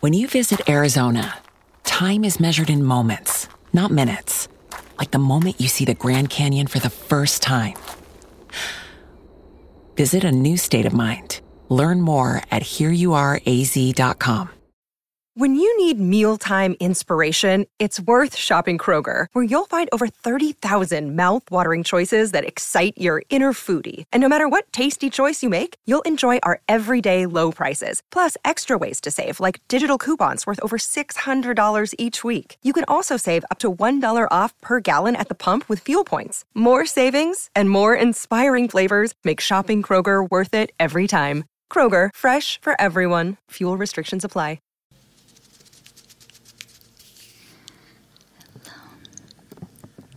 When you visit Arizona, time is measured in moments, not minutes. Like the moment you see the Grand Canyon for the first time. Visit a new state of mind. Learn more at hereyouareaz.com. When you need mealtime inspiration, it's worth shopping Kroger, where you'll find over 30,000 thousand mouth-watering choices that excite your inner foodie. And no matter what tasty choice you make, you'll enjoy our everyday low prices, plus extra ways to save, like digital coupons worth over $600 each week. You can also save up to $1 off per gallon at the pump with fuel points. More savings and more inspiring flavors make shopping Kroger worth it every time. Kroger, fresh for everyone. Fuel restrictions apply. Hello,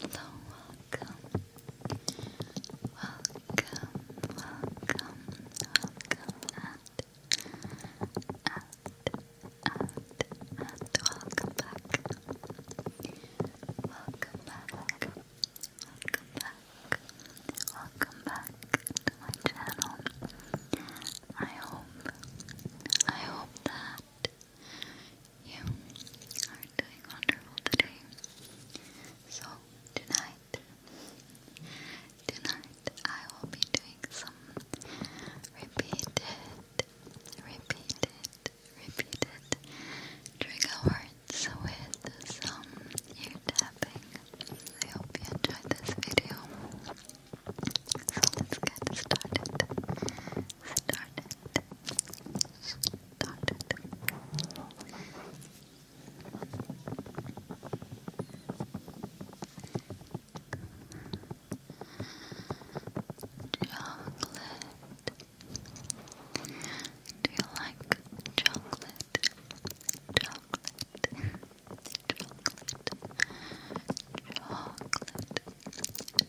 hello, welcome, welcome, welcome, welcome, welcome back, welcome back, welcome back, welcome back to my channel. I hope, I hope that you are doing wonderful today. So, tonight, tonight I will be doing some repeated, repeated, repeated trigger words with some ear tapping. I hope you enjoyed this video. So let's get started. Started. Started. Chocolate. Do you like chocolate? Chocolate. Chocolate. Chocolate.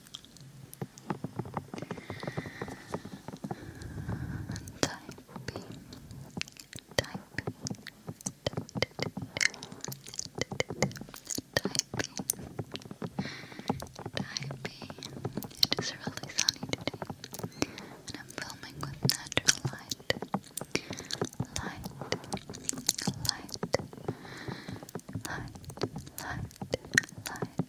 Typing, typing, typing, typing. It is really sunny today, and I'm filming with natural light, light, light, light, light, light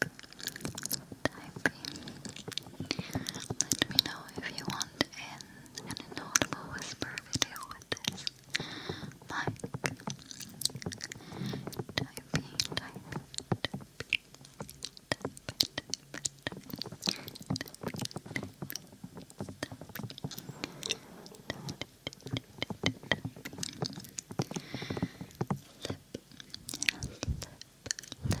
typing. Let me know if you want in an inaudible whisper video with this Typing, typing, typing, Lip, lip, lip,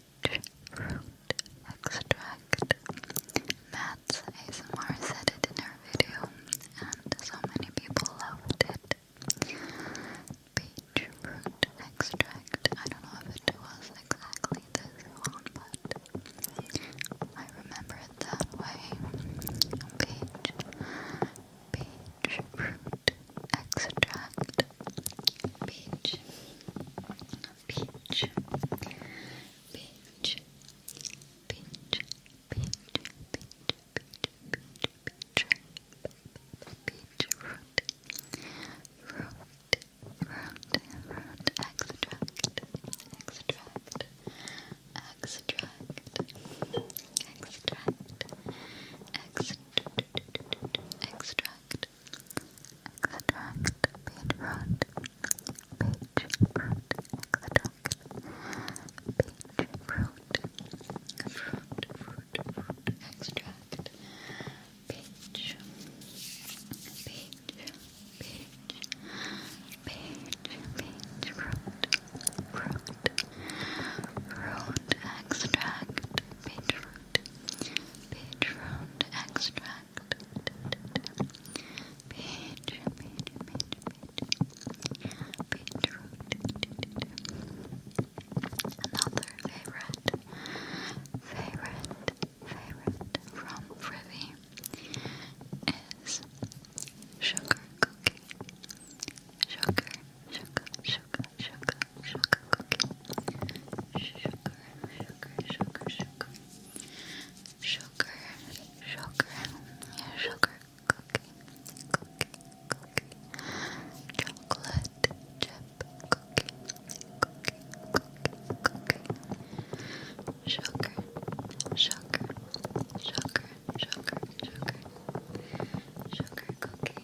fruit extract. Matt's ASMR said it in video, and so many people loved it. Peach fruit extract. I don't know if it was exactly this one, but I remember it that way. Peach, peach fruit extract. Peach Peach, peach, peach, peach, peach, peach, peach, peach, root, root, root, root, extract, extract, extract, extract, extract, extract, extract, peach fruit, peach fruit, extract, peach, peach, peach, peach, fruit, fruit, fruit extract, beetroot, beetroot extract fact. Page, page, page, page. Another favorite, favorite, favorite from Frivy is sugar cookie. Sugar, sugar, sugar, sugar, sugar cookie. Sugar, sugar, sugar, sugar, sugar, sugar, sugar cookie, cookie, cookie, chocolate chip cookie, cookie, cookie, cookie, sugar, sugar, sugar, sugar, sugar, sugar cookie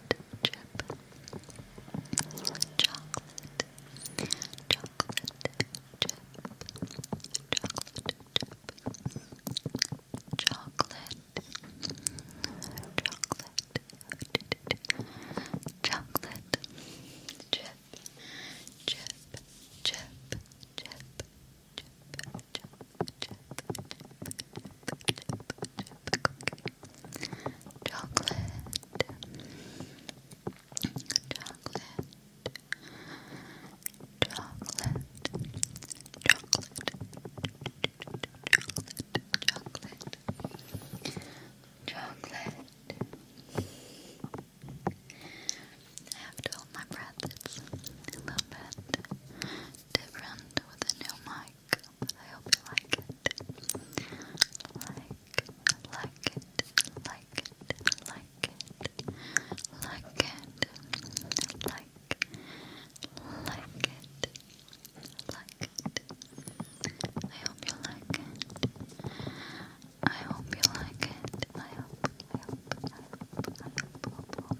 chip, chocolate, chocolate chip, chocolate chip, chocolate chip, chocolate, chocolate, chocolate chip, chip, chip, chip, chip, chip. Chocolate. Chocolate. Chocolate. Chocolate. Chocolate. Chocolate. I have to hold my breath. It's a little bit different with a new mic. I hope you like it. Like, like it, like it, like it, like it, like, like it, like it. I hope you like it. I hope you like it. I hope, I hope, I hope, I hope, hope, hope.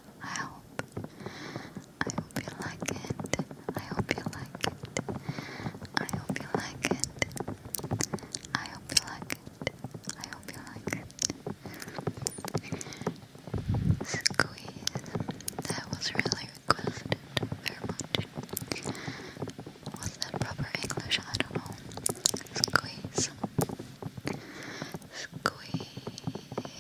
I hope. I hope you like it. I hope you like it. I hope you like it. I hope you like it. I hope you like it. Squeeze. That was really requested very much. Was that proper English? I don't know. Squeeze. Squeeze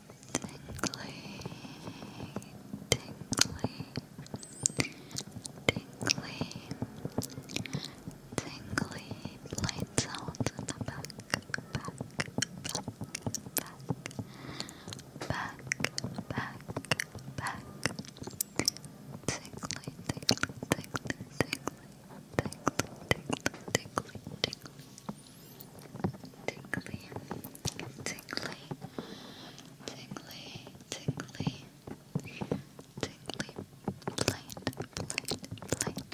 tingly, tingly, tingly, tingly, plain sounds in the back, back, back, back, back, back, tingly, tingly, tingly, tingly, tingly, tingly, tingly, tingly, tingly Tickly, tickly, tickly, tickly, tickly, plate, plate, plate, plate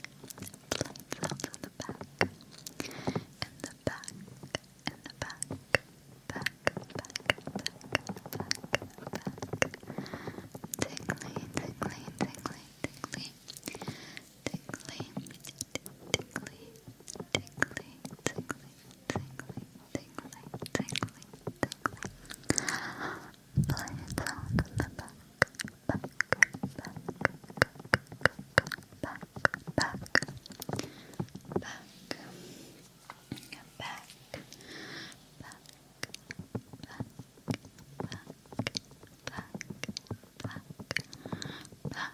sounds in the back, in the back, in the back, back, back, back, back, back, tickly, tickly, tickly, tickly, tickly, tickly, tickly, tickly, tickly, tickly, tickly, tickly. Play it on the back, back, back, back, back, back, back, back. Back, back, back, back, back, back,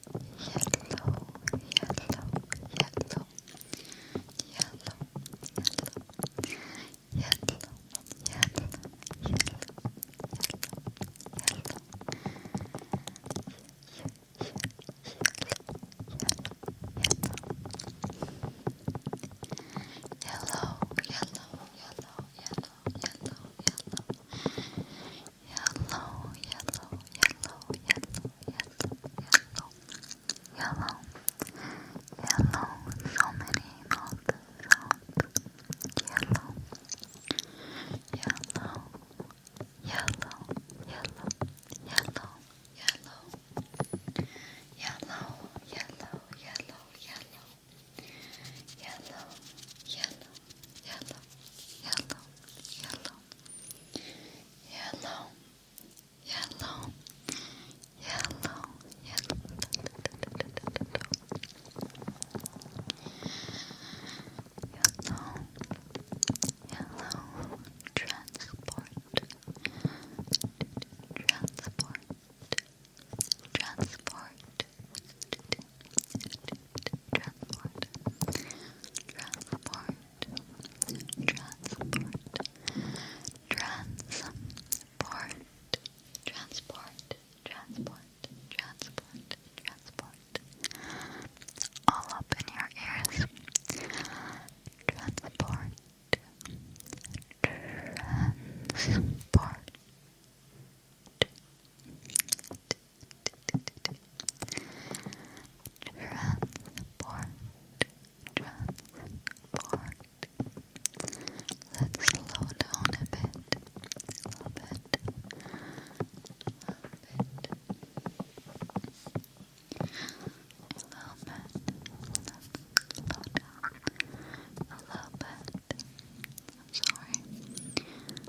yellow, yellow, yellow, yellow, yellow, yellow, yellow, yellow, yellow. Yellow, yellow, yellow, yellow, yellow, yellow, yellow, yellow, yellow, yellow, yellow, yellow, yellow, so many mouth sounds, yellow, yellow, yellow, yellow, yellow, yellow, yellow, yellow, yellow, yellow. Yellow, yellow, yellow, yellow, yellow, yellow, yellow, yellow, yellow. Yellow, yellow, transport, transport, transport, transport, transport, transport, transport, transport, transport, transport, transport, all up in your ears, transport, transport. Transport, Transport. Transport. Let's slow down a bit. A little bit. A little bit. A little Slow down. A little bit. I'm sorry.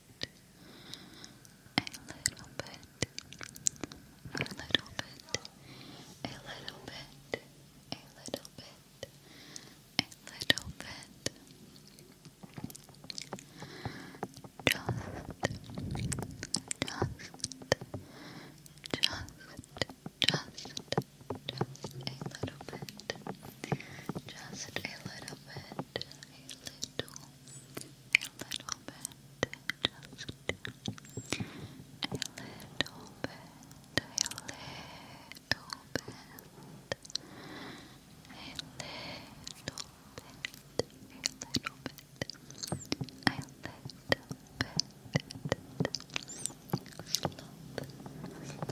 a little bit, a little bit, a little bit, a little bit, a little bit. Just, just, just, just. Just a little bit. Just a little bit. A little a little bit, just a little bit, a little bit, a little bit, a little bit. A little bit. Slop, slop, slop,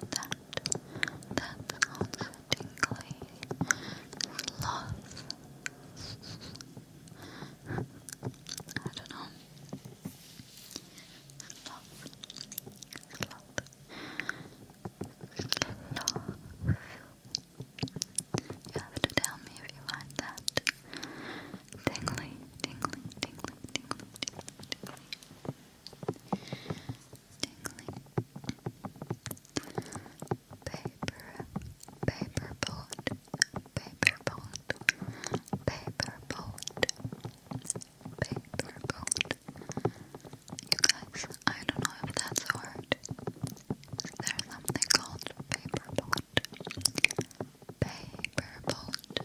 that, that's also Love. I don't know. Love. Love. Love. You have to tell me if you find that tingly, tingly, tingly, tingly, tingly tingling paper, paper boat, paper boat, paper boat, paper boat. You guys, I don't know if that's a There's something called paper boat. Paper boat,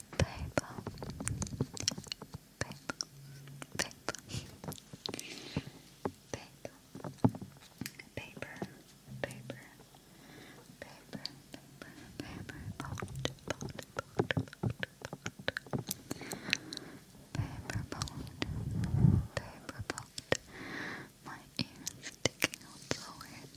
PayPal, PayPal, PayPal, PayPal, paper, paper, paper, paper, paper, boat, boat, boat, boat, paper, paper, My ear sticking out so weird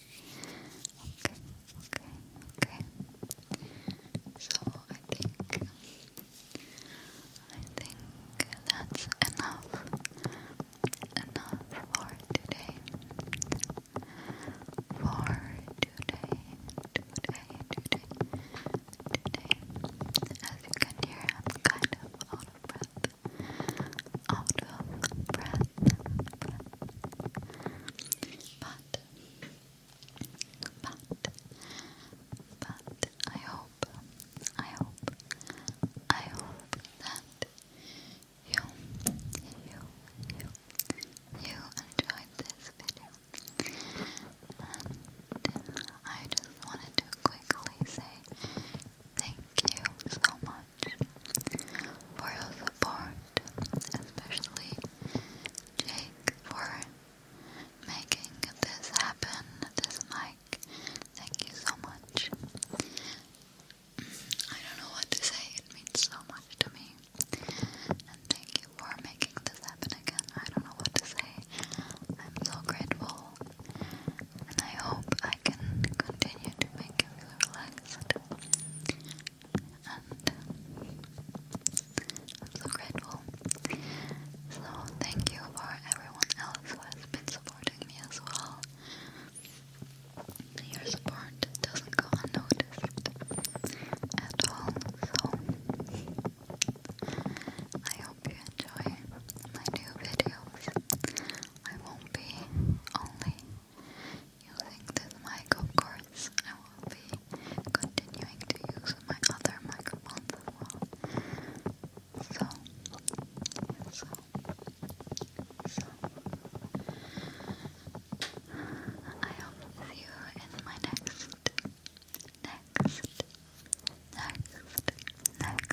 Okay, okay, okay. So I think I think that's enough enough for today. For today, today, today, today. As you can hear, I'm kind of out of breath out of breath, but but but I hope I hope I hope that you you you you enjoyed this video I just wanted to quickly say Thank you so much for your support, especially Jake for making this happen, this mic. Thank you so much. I don't know what to say, it means so much to me. And thank you for making this happen again. I don't know what to say. I'm so grateful. And I hope I can continue to make and i grateful. So thank you for everyone else who has been supporting me as well. Your support doesn't go unnoticed at all. So I hope you enjoy my new videos. I won't be only using this mic, of course. I will be continuing to use my other microphone as well. So, so, so. I hope to see you in my next, next, next, next,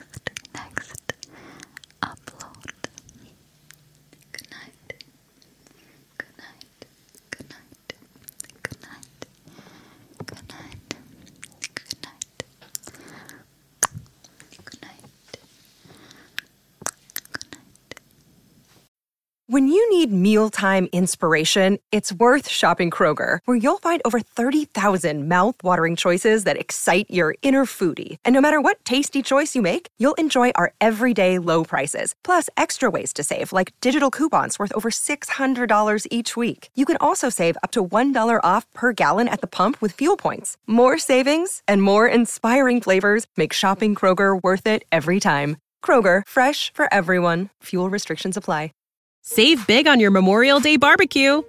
next upload. Good night. Good night. Good night. Good night. Good night. Good night. Good night. Good night. When you need mealtime inspiration, it's worth shopping Kroger, where you'll find over 30,000 mouthwatering choices that excite your inner foodie, and no matter what tasty choice you make, you'll enjoy our everyday low prices, plus extra ways to save, like digital coupons worth over $600 each week. You can also save up to $1 off per gallon at the pump with fuel points. More savings and more inspiring flavors make shopping Kroger worth it every time. Kroger, fresh for everyone. Fuel restrictions apply. Save big on your Memorial Day barbecue